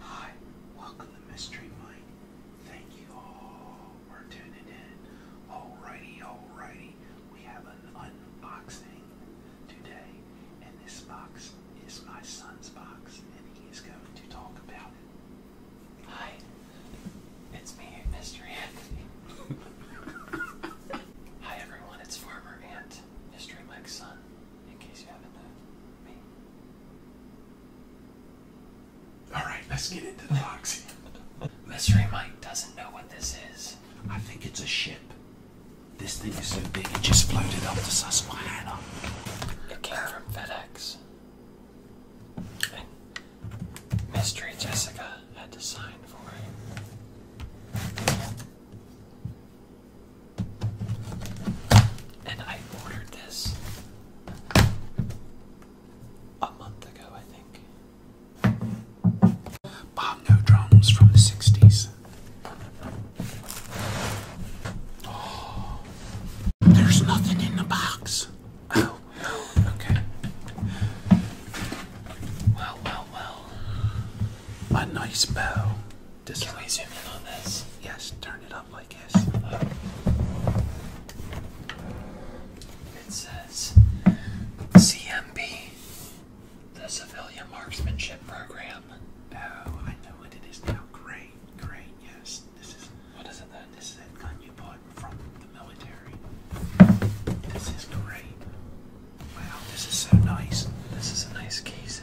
Hi, welcome to Mystery Mike. Thank you all for tuning in. Alrighty, alrighty. We have an unboxing today, and this box is my son's box, and he is going to talk about it. Hi, it's me, Mr. Anthony. Hi everyone, it's Farmer Ant, Mystery Mike's son in case you haven't uh, Alright, let's get into the box Mystery Mike doesn't know what this is. I think it's a ship. This thing is so big it just floated up to Susquehanna. It came from FedEx. Mystery Jessica had to sign for it. And I ordered this a month ago, I think. Bob drums from the 60s. there's nothing in the box. Oh, okay. Well, well, well. A nice bow. This Can we zoom in on this? Yes, turn it up like this. It says CMB, the Civilian Marksmanship Program. Oh, I know what it is now. Great, great, yes. This is what is it then? This gun you bought from the military. This is great. Wow, this is so nice. This is a nice case.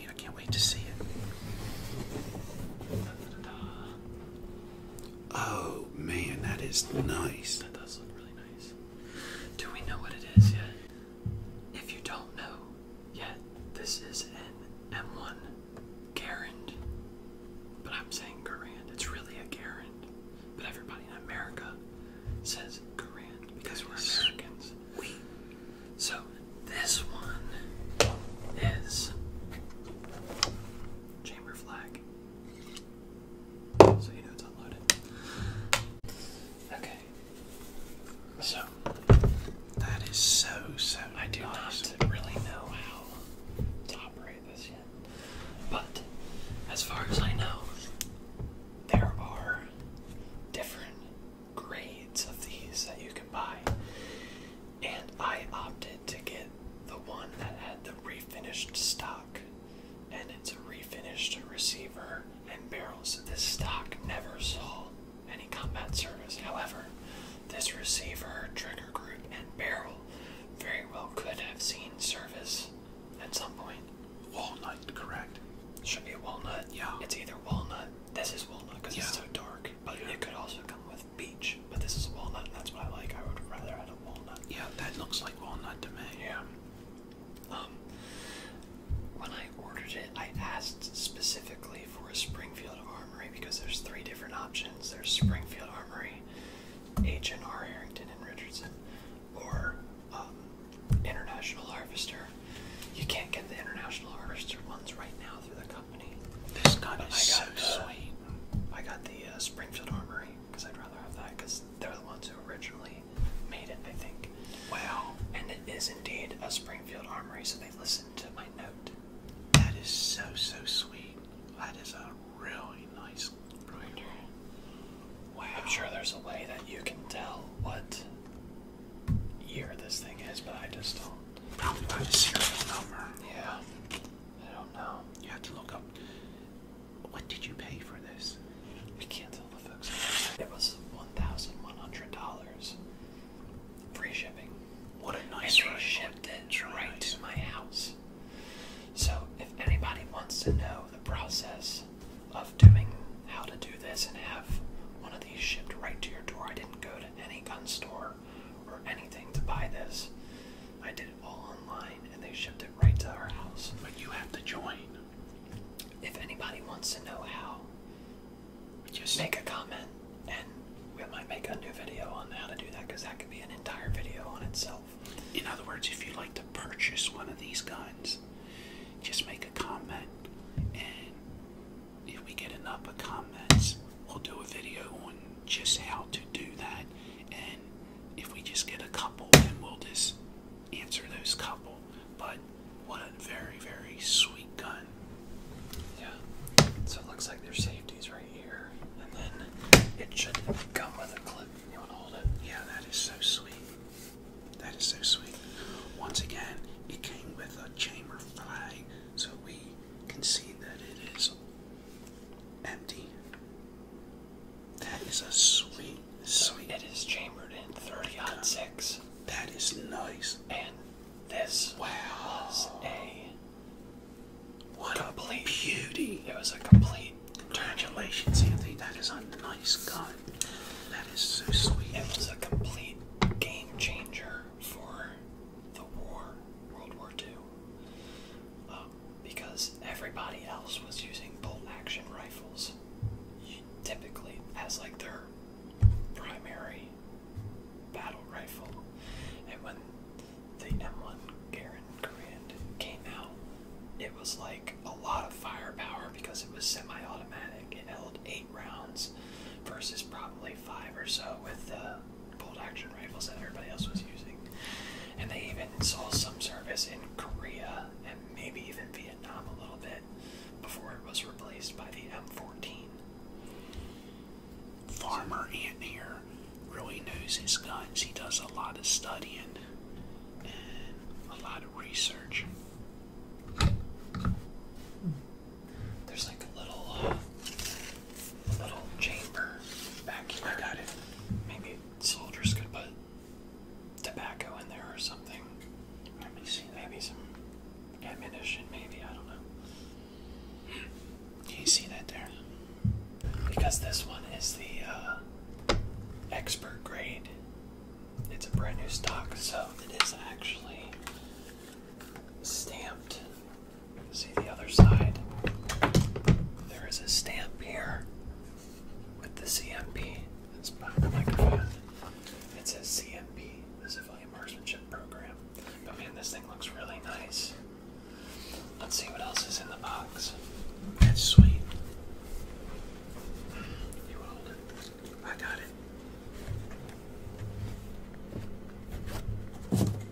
I can't wait to see it. Oh man, that is nice. That does look really nice. Do we know what it is yet? If you don't know yet, this is an M1 Garand. But I'm saying Garand. It's really a Garand. But everybody in America says Garand because we're Americans. We so this one is chamber flag. So you know it's unloaded. Okay. So that is so so. I do nice. not really know how to operate this yet, but as far as I know, there are different grades of these that you can buy, and I opted to get the one that had the refinished stock, and it's a refinished receiver and barrels. This stock never saw any combat service. However, this receiver, trigger group, and barrel very well could have seen service at some point. Walnut, correct? Should be walnut. Yeah. It's either walnut this is walnut because it's so dark, but it could also come with peach. But this is walnut, and that's what I like. I would rather have a walnut. Yeah, that looks like walnut to me. Yeah. Um, when I ordered it, I asked specifically for a Springfield Armory because there's three different options. There's Springfield Armory, H and R Harrington and Richardson, or um, International Harvester. You can't get the International Harvester ones right now through the company. This gun is so sweet. I got the uh, Springfield Armory because I'd rather have that because they're the ones who originally made it, I think. Wow. And it is indeed a Springfield Armory, so they listened to my note. That is so, so sweet. That is a really nice reminder. Wow. I'm sure there's a way that you can tell what year this thing is, but I just don't. Probably by the serial number. Yeah. I don't know. You have to look up. What did you pay for this? I can't tell the folks. It was one thousand one hundred dollars. Free shipping. What a nice and they ride. shipped it right to my house. So if anybody wants to know the process of doing how to do this and have one of these shipped right to your door, I didn't go to any gun store or anything to buy this. I did it all online and they shipped it right to our house. But you have to join. If anybody wants to know how, just make a comment and we might make a new video on how to do that because that could be an entire video on itself. In other words, if you'd like to purchase one of these guns, just make a comment and if we get enough comments, we'll do a video on just how to do that. And if we just get a couple, then we'll just answer those couple. But what a very, very sweet gun. Yeah. So it looks like there's safeties right here. And then it should come with a clip. You want to hold it? Yeah, that is so sweet. That is so sweet. Once again, it came with a chamber flag so we can see that it is empty. That is a sweet, sweet. it is chambered in 30 odd 6. That is nice. And this was a. What a complete, beauty! It was a complete. Congratulations, Anthony. That is a nice gun. That is so sweet. It was a complete game changer for the war, World War II, um, because everybody else was using bolt action rifles, typically as like their primary battle rifle. And when the M1 Garand came out, it was like a lot of firepower because it was semi-automatic. It held eight rounds versus probably five or so with the uh, bolt action rifles that everybody else was using. And they even saw some service in Korea and maybe even Vietnam a little bit before it was replaced by the M14. Farmer Ant here really knows his guns. He does a lot of studying and a lot of research. There's like a little, uh, little chamber back here. I got it. Maybe soldiers could put tobacco in there or something. Let me see. Maybe some ammunition. Maybe I don't know. Do you see that there? Because this one is the uh, expert grade. It's a brand new stock, so it is actually stamped See the other side. There is a stamp here with the CMP. It's behind the microphone. It says CMP, the Civilian Marksmanship Program. But man, this thing looks really nice. Let's see what else is in the box. That's sweet. You hold it. I got it.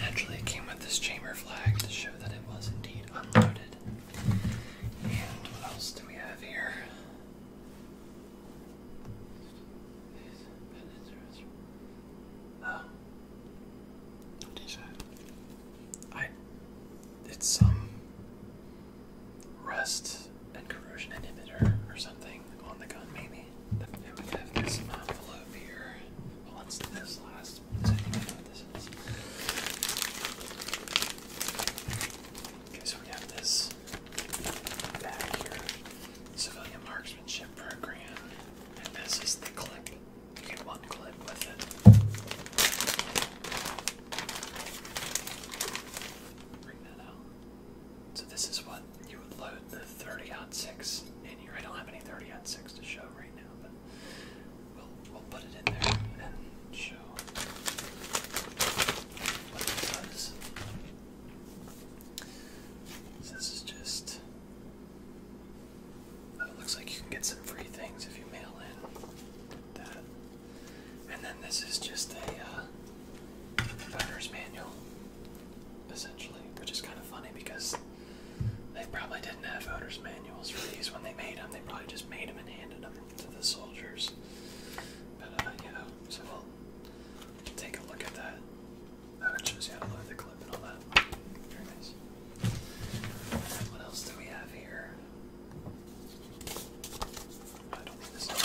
Naturally, it came with this chamber flag to show that it was indeed unloaded. And what else do we have here? Oh. What is that? I. It's some rust and corrosion inhibitor or something on the gun, maybe. And we have this envelope here. What's this last? Okay, so we have this Civilian marksmanship program. And this is the clip. You get one clip with it. Bring that out. So this is what you would load the 30 six in You don't have any 30 six to show right now, we'll, we'll put it in there and show what it does. this is just. Oh, looks like you can get some free things if you mail in that. And then this is just a uh, owner's manual, essentially, which is kind of funny because they probably didn't have owner's manuals for these when they made them. They probably just made them and handed them to the soldiers. But, uh, yeah, so we'll take a look at that. shows you how to load the clip and all that. Very nice. What else do we have here? I don't think this is.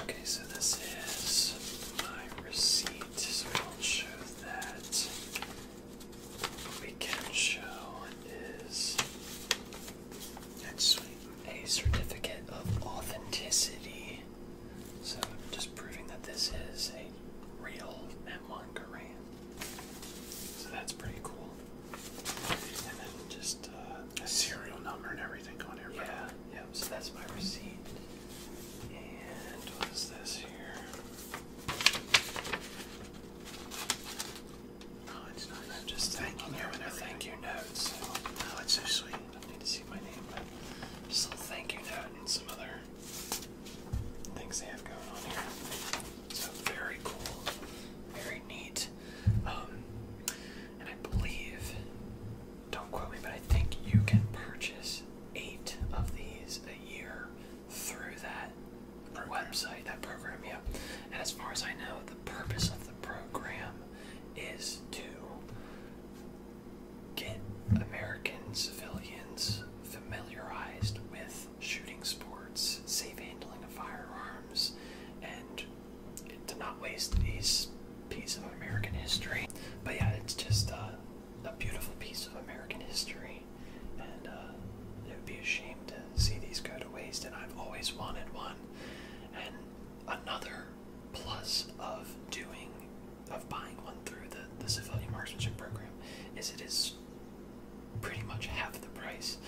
Okay, so this is my receipt, so we will show that. we can show is actually a certificate of authenticity. So just proving that this is a real M1 Garand. So that's pretty cool. And then just uh, uh, serial number and everything on here. Yeah, yep. so that's my receipt. And what is this here? Oh, it's nice. I'm just thanking you and thank you note. oh, it's so sweet. I need to see my name, but just a thank you note and some other things they have going on here. So very cool, very neat. Um, and I believe, don't quote me, but I think you can purchase eight of these a year through that website, that program, yeah. And as far as I know, the purpose of the program is to get American civilians familiarized with shooting sports, safe handling of firearms, and to not waste these piece of American history. But yeah, it's just uh, a beautiful piece of American history, and uh, it would be a shame to see these go to waste. And I've always wanted one. And another plus of doing, of buying one through the the civilian marksmanship program, is it is pretty much half the price.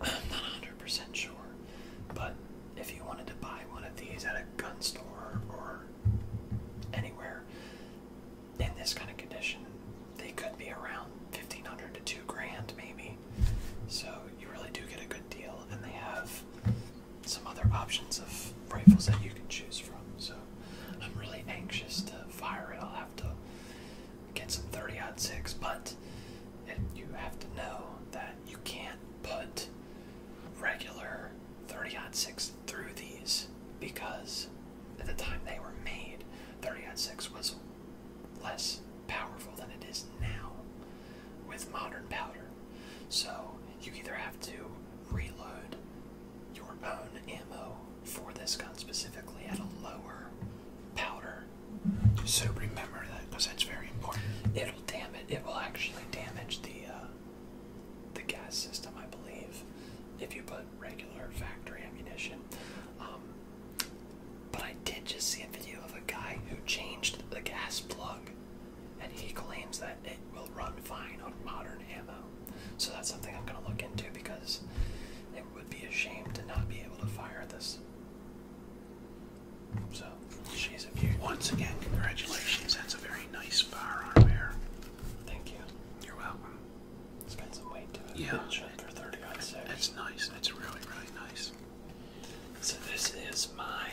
I'm not 100% sure, but if you wanted to buy one of these at a gun store or anywhere in this kind of condition, they could be around 1500 to 2 grand maybe. So you really do get a good deal and they have some other options of rifles that you can choose from. So I'm really anxious to fire it. I'll have to get some 30 odd six, but it, you have to know that you can't put regular 30-06 through these because at the time they were made, 30-06 was less powerful than it is now with modern powder. So you either have to reload your own ammo for this gun specifically at a lower powder so remember that because that's very important. It'll damage. It It will actually damage the uh, the gas system, I believe, if you put regular factory ammunition. Um, but I did just see a video of a guy who changed the gas plug, and he claims that it will run fine on modern ammo. So that's something I'm going to look into because it would be a shame to not be able to fire this. So Once again, congratulations. That's a very nice firearm there. Thank you. You're welcome. it some weight to it. for 30 that's nice. That's really, really nice. So this is my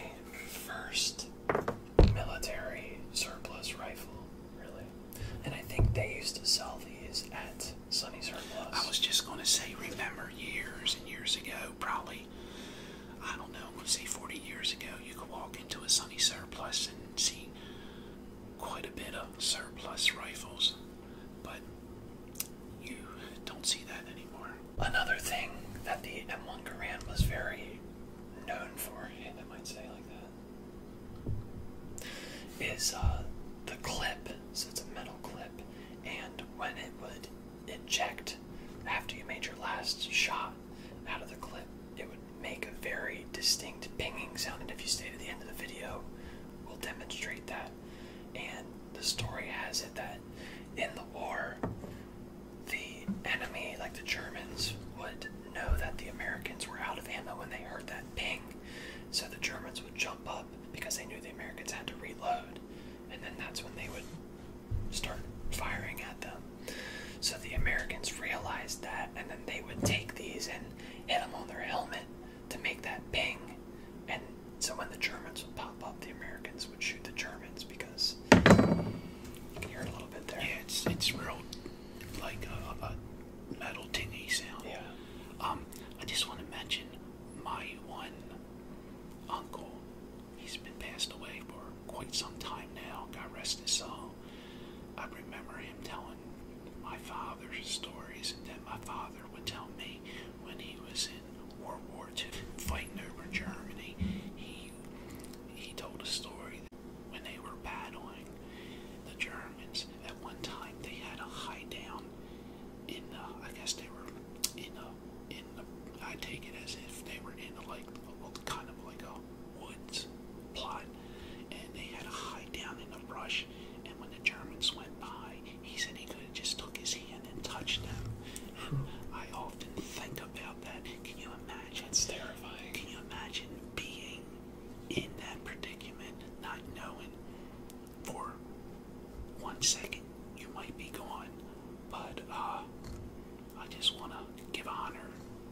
first military surplus rifle, really. And I think they used to sell these at Sunny Surplus. I was just going to say, remember years and years ago, probably I don't know, let say 40 years ago, you could walk into a Sunny surplus and see quite a bit of surplus rifles, but you don't see that anymore. Another thing that the M1 Garand was very known for, and I might say like that, is uh, the clip. So it's a metal clip, and when it would eject after you made your last shot out of the clip, it would make a very distinct pinging sound. And if you stay to the end of the video, we'll demonstrate that. And the story has it that in the war, the enemy, like the Germans, would know that the Americans were out of ammo when they heard that ping. So the Germans would jump up because they knew the Americans had to reload. And then that's when they would start firing at them. So the Americans realized that, and then they would take these and hit them on their helmet to make that ping. And so when the Germans would pop up, the Americans would shoot the Germans because you can hear a little bit there. it's it's real like a, metal tingy sound. Yeah. Um, I just want to mention my one uncle He's been passed away for quite some time now. God rest his soul. I remember him telling my father stories that my father would tell me when he was in World War II fighting over Germany. He he told a story when they were battling the Germans at one time they had a high down in the. Uh, I guess they were in uh, um, in the, I take it as if they were in a, like a, kind of like a woods plot, and they had to hide down in the brush. And when the Germans went by, he said he could have just took his hand and touched them. And I often think about that. Can you imagine? It's terrifying. Can you imagine being in that predicament, not knowing for one second you might be gone, but uh, I just want to give honor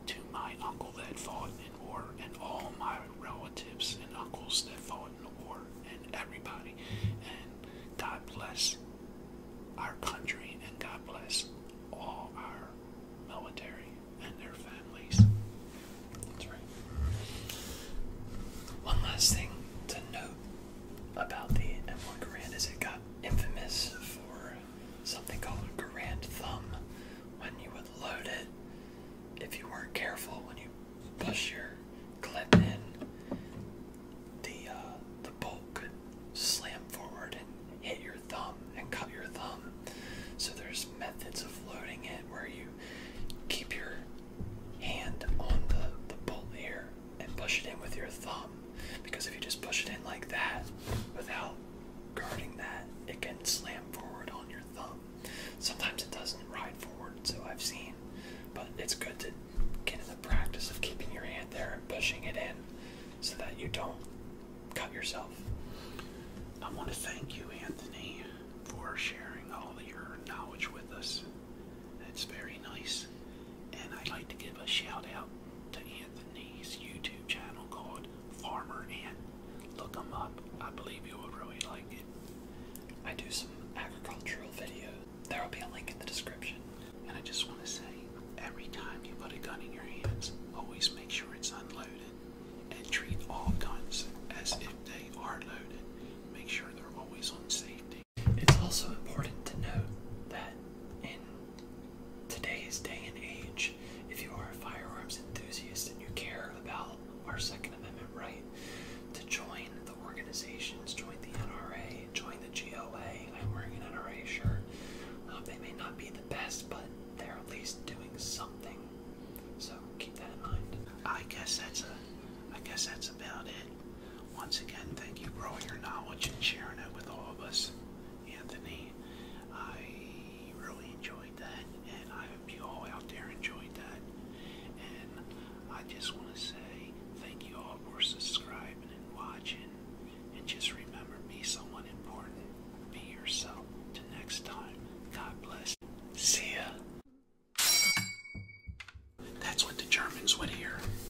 to my uncle that fought in war and all my relatives and uncles that fought in war and everybody. And God bless our country and God bless all our military and their families. That's right. One last thing to note about the M1 Garand is it got infamous for something called a Garand thumb. When you would load it, if you weren't careful, when you push your clip in, the uh, the bolt could slam forward and hit your thumb and cut your thumb. So there's methods of loading it where you keep your hand on the, the bolt here and push it in with your thumb because if you just push it in like that without guarding that, it can slam forward on your thumb. Sometimes it doesn't ride forward, so I've seen, but it's good to get in the practice of keeping your hand there and pushing it in so that you don't cut yourself. I want to thank you, Anthony, for sharing all of your knowledge with us. That's very nice. And I'd like to give a shout out to Anthony's YouTube channel called Farmer Ant. Look him up. I believe you will really like it. I do some agricultural videos. There will be a link in the description. And I just want to say, every time you put a gun in your hands, always make sure it's unloaded. And treat all guns as if they are loaded. Make sure they're always on safety. It's also important to note that in today's day and age, if you are a firearms enthusiast and you care about our Second Amendment right to join the organizations, join the NRA, join the GOA, I'm wearing an NRA shirt. Uh, they may not be the best, but they're at least doing something. So keep that in mind. I guess that's a, I guess that's about it. Once again, thank you for all your knowledge and sharing it with all of us, Anthony. I really enjoyed that, and I hope you all out there enjoyed that. And I just want to say thank you all for subscribing and watching. And just remember, be someone important. Be yourself. Till next time, God bless. See ya. That's what the Germans would hear.